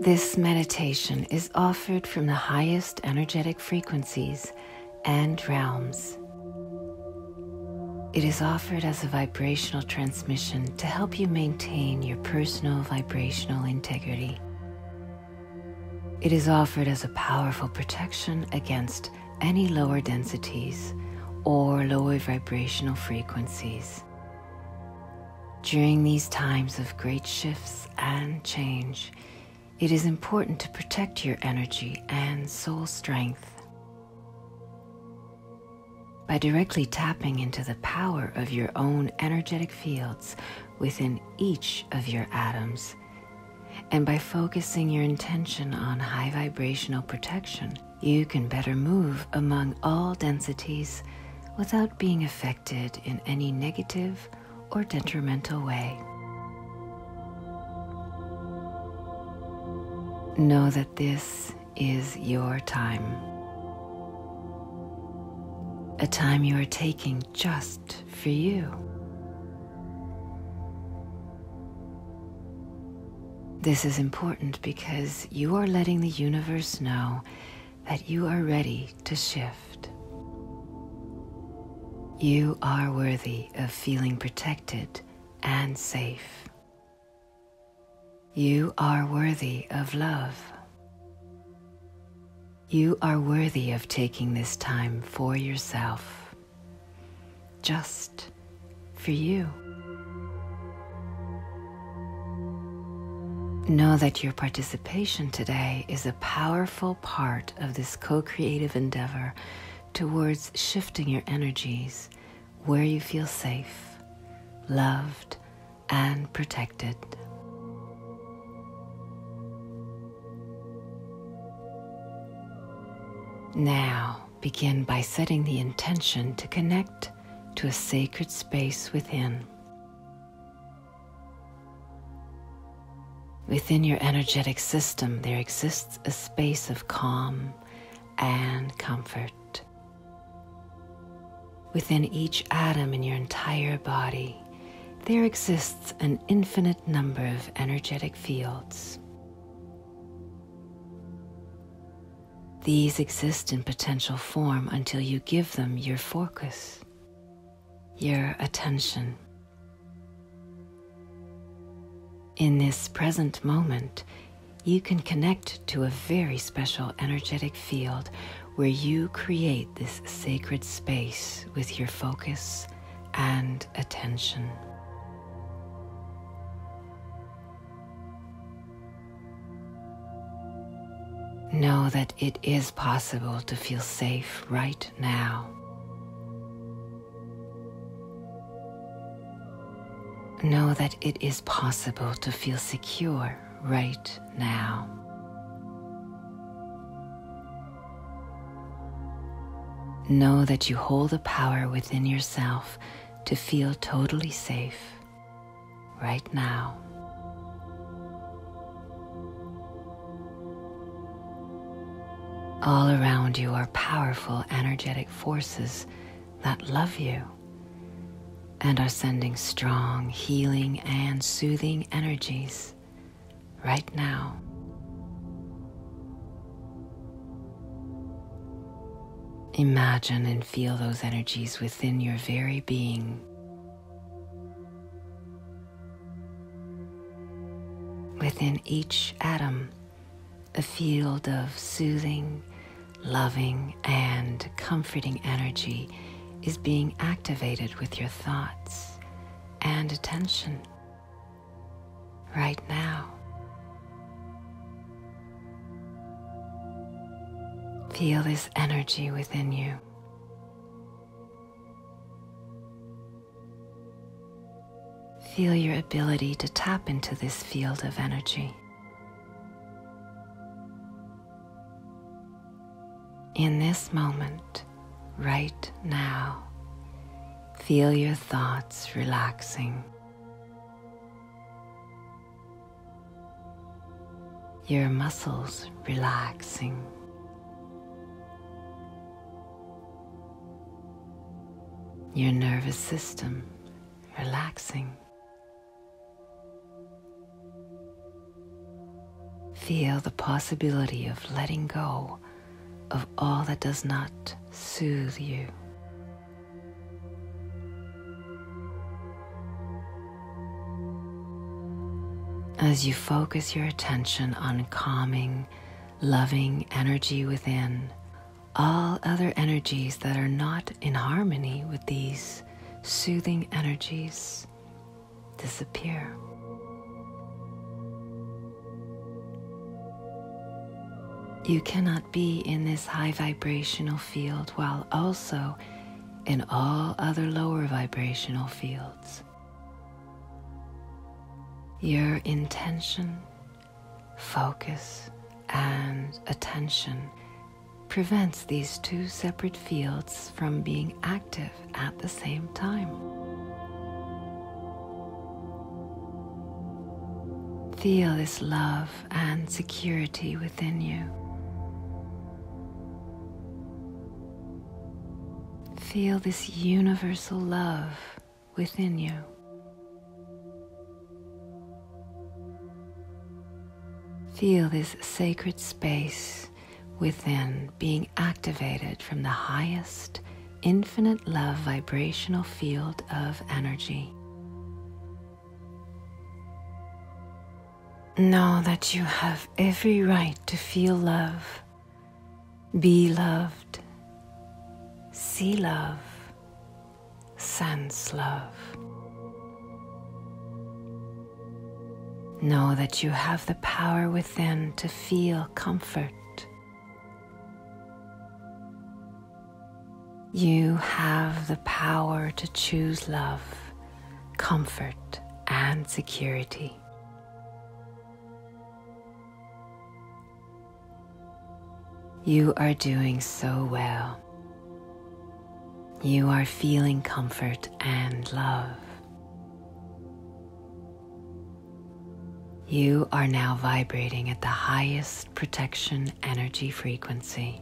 This meditation is offered from the highest energetic frequencies and realms. It is offered as a vibrational transmission to help you maintain your personal vibrational integrity. It is offered as a powerful protection against any lower densities or lower vibrational frequencies. During these times of great shifts and change, it is important to protect your energy and soul strength. By directly tapping into the power of your own energetic fields within each of your atoms, and by focusing your intention on high vibrational protection, you can better move among all densities without being affected in any negative or detrimental way. Know that this is your time. A time you are taking just for you. This is important because you are letting the universe know that you are ready to shift. You are worthy of feeling protected and safe. You are worthy of love. You are worthy of taking this time for yourself, just for you. Know that your participation today is a powerful part of this co creative endeavor towards shifting your energies where you feel safe, loved, and protected. Now, begin by setting the intention to connect to a sacred space within. Within your energetic system, there exists a space of calm and comfort. Within each atom in your entire body, there exists an infinite number of energetic fields. These exist in potential form until you give them your focus, your attention. In this present moment, you can connect to a very special energetic field where you create this sacred space with your focus and attention. Know that it is possible to feel safe right now. Know that it is possible to feel secure right now. Know that you hold the power within yourself to feel totally safe right now. All around you are powerful energetic forces that love you and are sending strong, healing, and soothing energies right now. Imagine feel those energies within your very being. Within each atom, a field of soothing, loving, and comforting energy is being activated with your thoughts and attention right now. Feel this energy within you. Feel your ability to tap into this field of energy. In this moment, right now, feel your thoughts relaxing your muscles relaxing. Your nervous system relaxing. Feel the possibility of letting go of all that does not soothe you. As you focus your attention on calming, loving energy within, all other energies that are not in harmony with these soothing energies disappear. You can be in this high vibrational field while also in all other lower vibrational fields. Your intention, focus, and attention prevents these two separate fields from being active at the same time. Feel this love and security within you. Feel this universal love within you. Feel this sacred space within being activated from the highest infinite love vibrational field of energy. Know that you have every right to feel love, be loved, see love, sense love. Know that you have the power within to feel comfort, you have the power to choose love, comfort, and security. You are doing so well. You are feeling comfort and love. You are now vibrating at the highest protection energy frequency.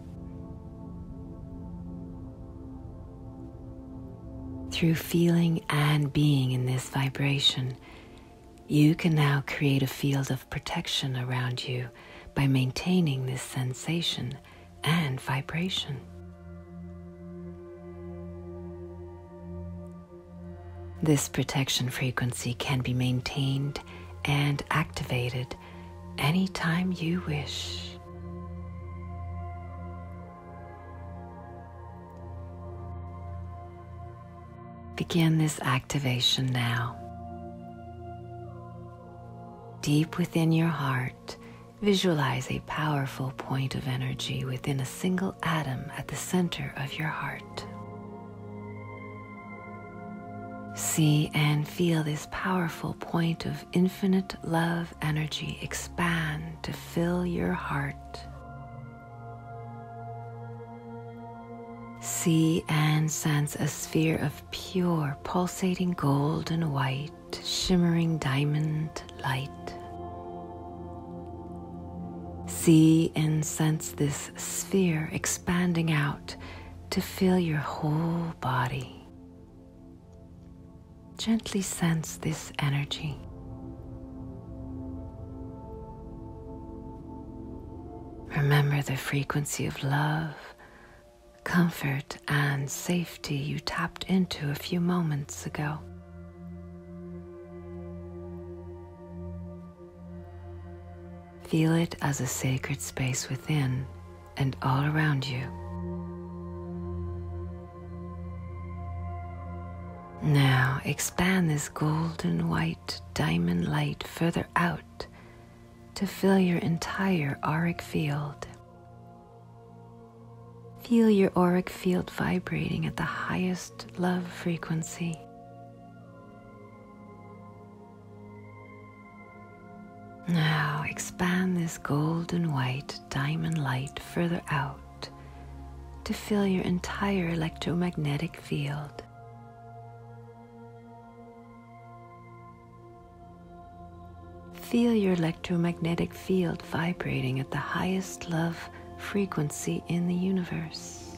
Through feeling and being in this vibration, you can now create a field of protection around you by maintaining this sensation and vibration. This protection frequency can be maintained and activated it anytime you wish. Begin this activation now. Deep within your heart, visualize a powerful point of energy within a single atom at the center of your heart. See and feel this powerful point of infinite love energy expand to fill your heart. See and sense a sphere of pure, pulsating gold and white, shimmering diamond light. See and sense this sphere expanding out to fill your whole body. Gently sense this energy. Remember the frequency of love, comfort, and safety you tapped into a few moments ago. Feel it as a sacred space within and all around you. Now expand this golden white diamond light further out to fill your entire auric field. Feel your auric field vibrating at the highest love frequency. Now expand this golden white diamond light further out to fill your entire electromagnetic field. Feel your electromagnetic field vibrating at the highest love frequency in the universe.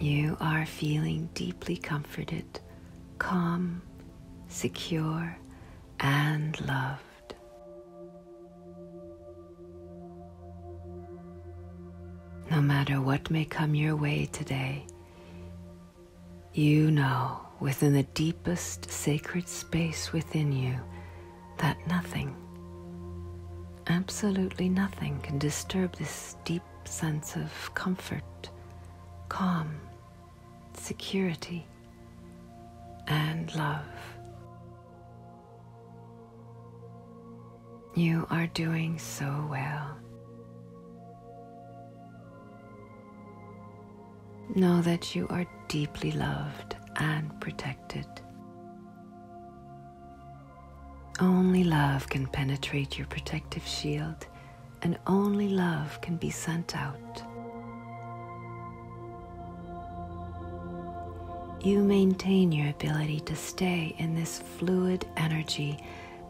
You are feeling deeply comforted, calm, secure, and loved. No matter what may come your way today, you know within the deepest sacred space within you that nothing, absolutely nothing, can disturb this deep sense of comfort, calm, security, and love. You are doing so well. Know that you are deeply loved and protected. Only love can penetrate your protective shield, and only love can be sent out. You maintain your ability to stay in this fluid energy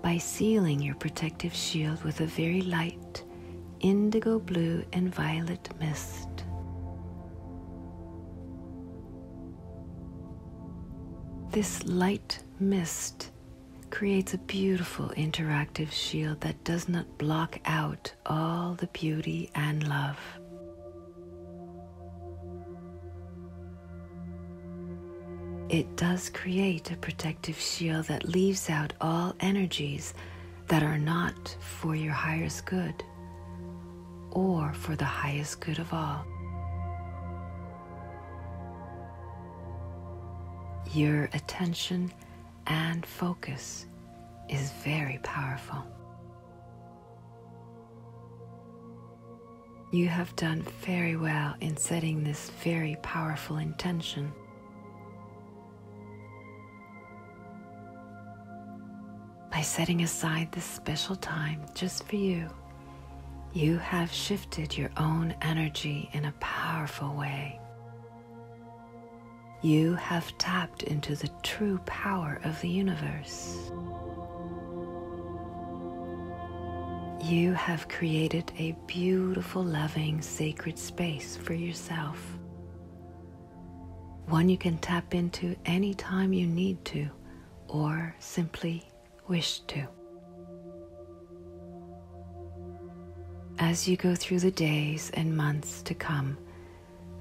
by sealing your protective shield with a very light indigo blue and violet mist. This light mist creates a beautiful interactive shield that does not block out all the beauty and love. It does create a protective shield that leaves out all energies that are not for your highest good or for the highest good of all. Your attention and focus is very powerful. You have done very well in setting this very powerful intention. By setting aside this special time just for you, you have shifted your own energy in a powerful way. You have tapped into the true power of the universe. You have created a beautiful, loving, sacred space for yourself one you can tap into anytime you need to or simply wish to. As you go through the days and months to come,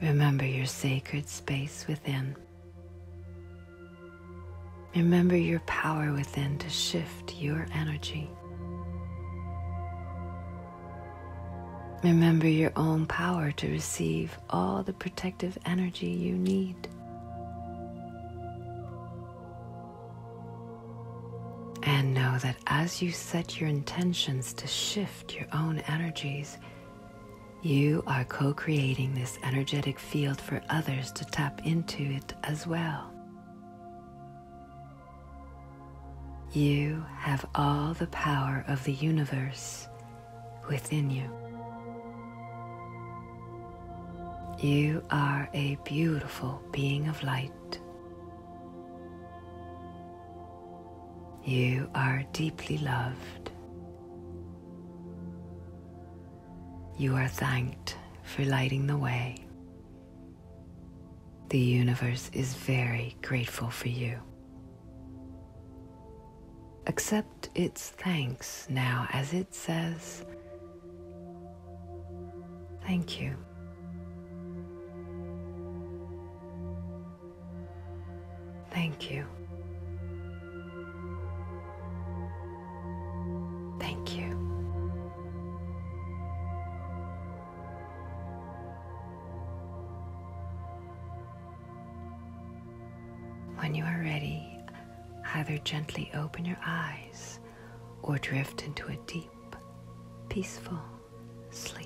remember your sacred space within. Remember your power within to shift your energy. Remember your own power to receive all the protective energy you need. And know that as you set your intentions to shift your own energies, you are co creating this energetic field for others to tap into it as well. You have all the power of the universe within you. You are a beautiful being of light. You are deeply loved. You are thanked for lighting the way. The universe is very grateful for you. Accept its thanks now as it says, Thank you. Thank you. Thank you. When you are ready, either gently open your eyes or drift into a deep, peaceful sleep.